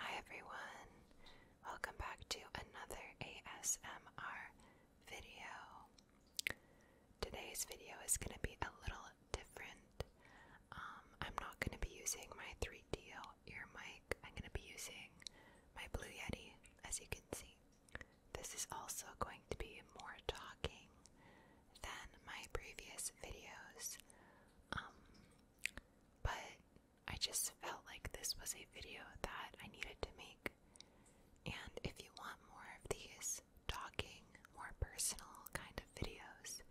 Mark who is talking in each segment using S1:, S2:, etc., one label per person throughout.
S1: Hi everyone, welcome back to another ASMR video. Today's video is going to be a little different. Um, I'm not going to be using my 3DO ear mic, I'm going to be using my Blue Yeti, as you can see. This is also going to be more talking than my previous videos. Um, but I just felt like this was a video that I needed to make. And if you want more of these talking, more personal kind of videos,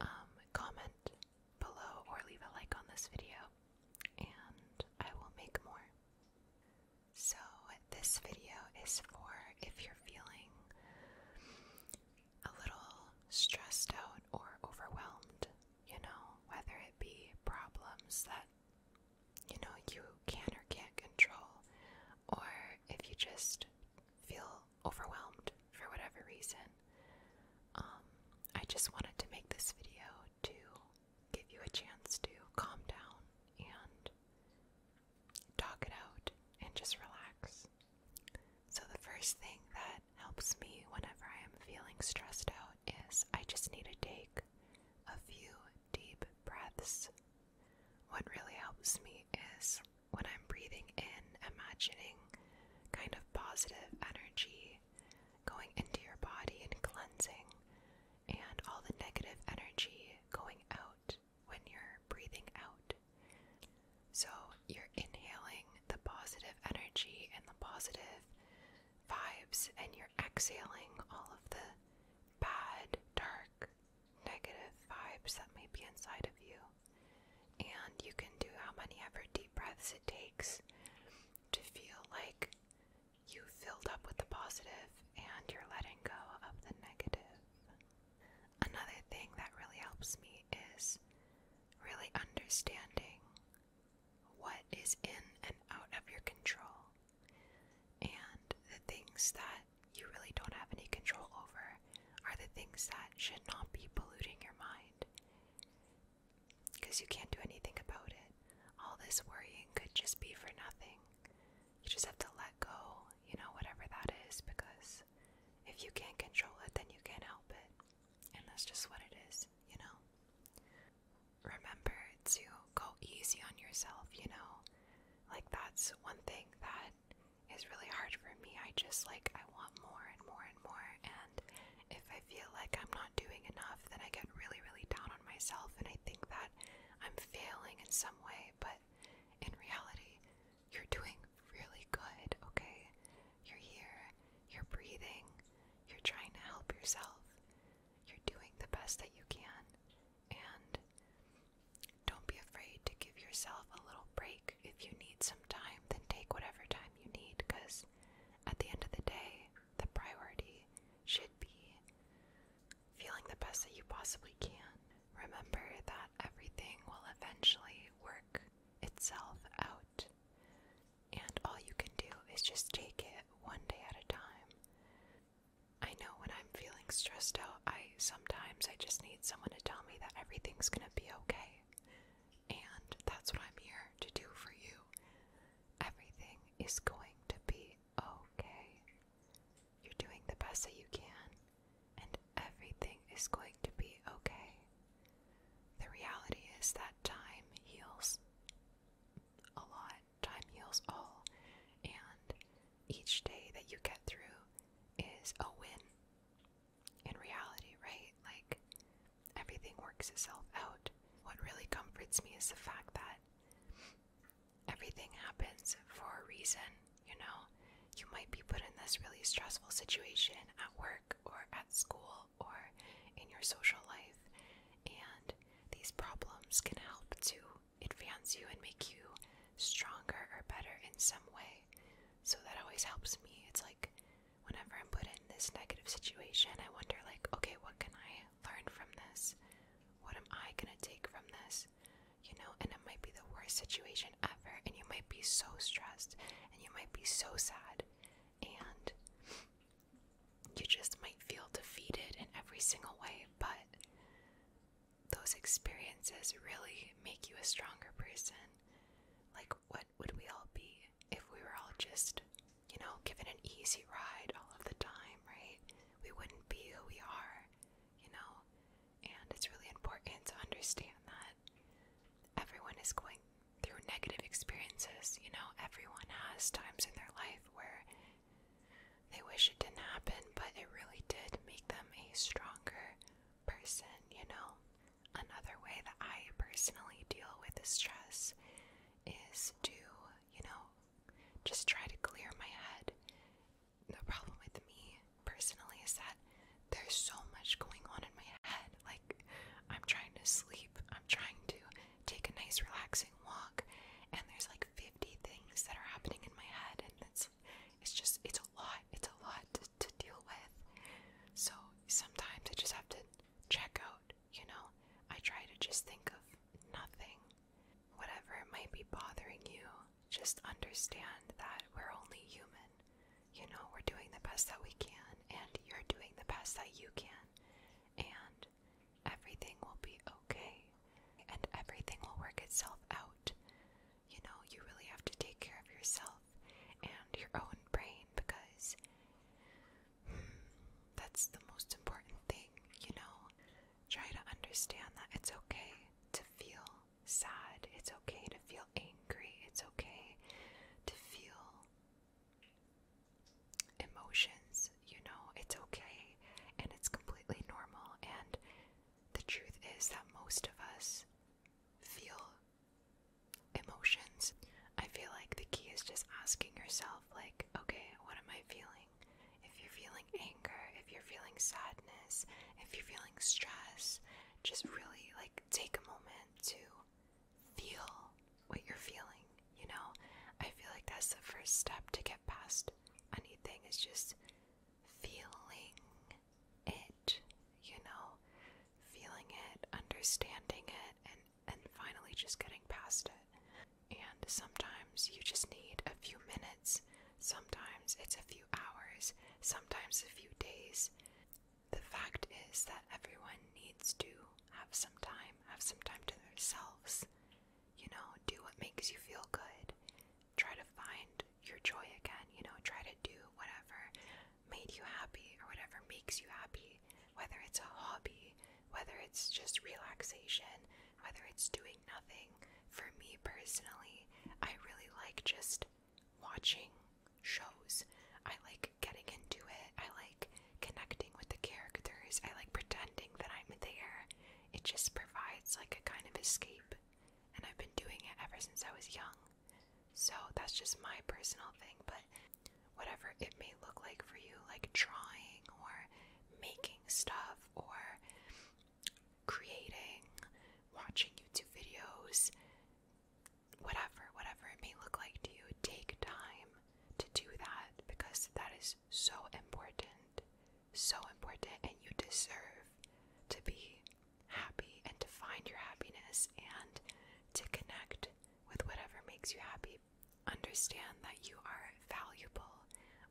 S1: um, comment below or leave a like on this video, and I will make more. So, this video is for if you're feeling a little stressed out or overwhelmed, you know, whether it be problems that you know you can or can't control, or if you just feel overwhelmed for whatever reason. Um, I just wanted to make this video to give you a chance to calm down and talk it out and just relax. So, the first thing that helps me whenever I am feeling stressed out is I just need to take a few deep breaths. What really helps me is when I'm breathing in, imagining kind of positive energy going into your body and cleansing, and all the negative energy going out when you're breathing out. So you're inhaling the positive energy and the positive vibes, and you're exhaling all of the bad, dark, negative vibes that may be inside of you. And you can do how many ever deep breaths it takes to feel like you filled up with the positive and you're letting go of the negative. Another thing that really helps me is really understanding what is in and out of your control and the things that you really don't have any control over are the things that should not be polluting your mind because you can't do anything about it. All this worrying could just be for nothing. You just have to let go, you know, whatever that is, because if you can't control it, then you can't help it. And that's just what it is, you know? Remember to go easy on yourself, you know? Like, that's one thing that is really hard for me. I just like, I want more and more and more. And if I feel like I'm not doing enough, then I get really, really down on myself and I think that I'm failing in some way. But in reality, you're doing really good, okay? You're here, you're breathing, you're trying to help yourself, you're doing the best that you can, and don't be afraid to give yourself a little break. If you need some time, then take whatever time you need, because at the end of the day, the priority should be feeling the best that you possibly can. Remember that everything will eventually work itself out, and all you can do is just take it one day at a time. I know when I'm feeling stressed out, I sometimes I just need someone to tell me that everything's going to be okay. And that's what I'm here to do for you. Everything is going to be okay. You're doing the best that you can, and everything is going to be okay. The reality is that time heals a lot, time heals all, and each day that you get through is a win in reality, right? Like, everything works itself out. What really comforts me is the fact that everything happens for a reason, you know? You might be put in this really stressful situation at work or at school or in your social life, and these problems can help to advance you and make you stronger or better in some way. So that always helps me. It's like whenever I'm put in this negative situation, I wonder, like, okay, what can I learn from this? What am I gonna take from this? you know, and it might be the worst situation ever, and you might be so stressed, and you might be so sad, and you just might feel defeated in every single way, but those experiences really make you a stronger person. Like, what would we all be if we were all just, you know, given an easy ride all of the time, right? We wouldn't be who we are you know? And it's really important to understand that everyone is going through negative experiences, you know? Everyone has times in their life where they wish it didn't happen, but it really did make them a stronger person, you know? Another way that I personally deal with the stress is to, you know, just try to clear my head. The problem with me personally is that there's so much going on in my head. Like, I'm trying to sleep, I'm trying to take a nice, relaxing walk, and there's like 50 things that are happening in my head, and it's it's just it's a lot it's a lot to, to deal with so sometimes i just have to check out you know i try to just think of nothing whatever might be bothering you, just understand that we're only human. You know, we're doing the best that we can, and you're doing the best that you can, and everything will be okay, and everything will work itself out. You know, you really have to take care of yourself and your own brain because hmm, that's the most important thing, you know? try to understand that it's okay to feel sad, it's okay to feel angry, it's okay to feel emotions, you know, it's okay and it's completely normal. And the truth is that most of us feel emotions. I feel like the key is just asking yourself like, okay, what am I feeling? If you're feeling anger, if you're feeling sadness, if you're feeling stress, just really like take a moment to feel what you're feeling, you know? I feel like that's the first step to get past anything is just feeling it, you know? Feeling it, understanding it, and and finally just getting past it. And sometimes you just need a few minutes, sometimes it's a few hours, sometimes a few days. The fact is that everyone needs to have some time, have some time to themselves. You know, do what makes you feel good. Try to find your joy again, you know, try to do whatever made you happy or whatever makes you happy, whether it's a hobby, whether it's just relaxation, whether it's doing nothing. For me personally, I really like just watching shows. I like getting into it. I like connecting with the characters. I like pretending that I'm there. It just provides like a kind of escape. And I've been doing it ever since I was young. So that's just my personal thing, but whatever it may look like for you, like drawing or making stuff or creating, watching YouTube videos, whatever, whatever it may look like to you, take time to do that because that is so important, so important, and you deserve to be happy and to find your happiness and to connect with whatever makes you happy Understand that you are valuable.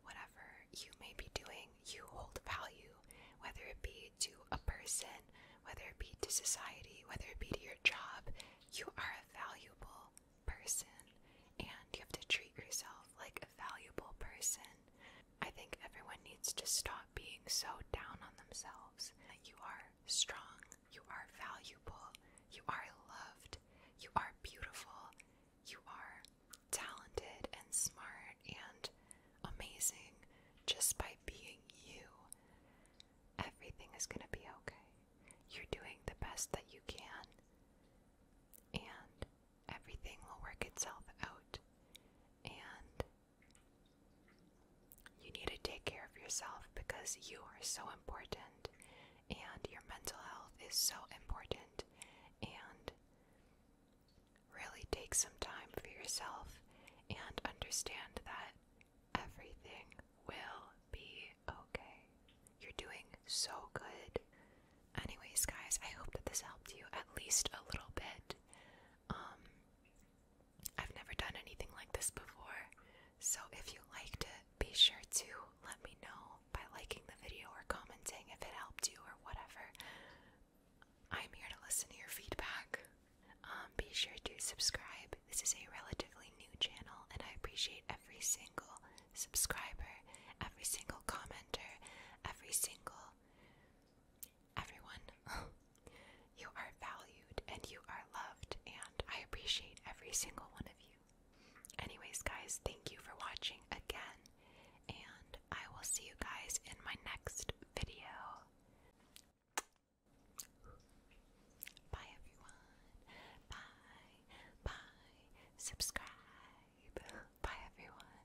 S1: Whatever you may be doing, you hold value, whether it be to a person, whether it be to society, whether it be to your job. You are a valuable person, and you have to treat yourself like a valuable person. I think everyone needs to stop being so down on themselves that you are strong you are valuable. You are loved. You are beautiful. You are talented and smart and amazing just by being you. Everything is going to be okay. You're doing the best that you can, and everything will work itself out. And you need to take care of yourself because you are so important and your mental health is so important and really take some time for yourself and understand that everything will be okay. You're doing so good. Anyways, guys, I hope that this helped you at least a little bit. Um I've never done anything like this before. So if you liked it, be sure to let me know by liking the video or commenting if it helped you or whatever. I'm here to listen to your feedback. Um, be sure to subscribe. This is a relatively new channel, and I appreciate every single subscriber, every single commenter, every single everyone. you are valued and you are loved, and I appreciate every single one of you. Anyways, guys, thank you for watching again, and I will see you guys in my next video. Bye, everyone. Bye. Bye. Subscribe. Bye, everyone.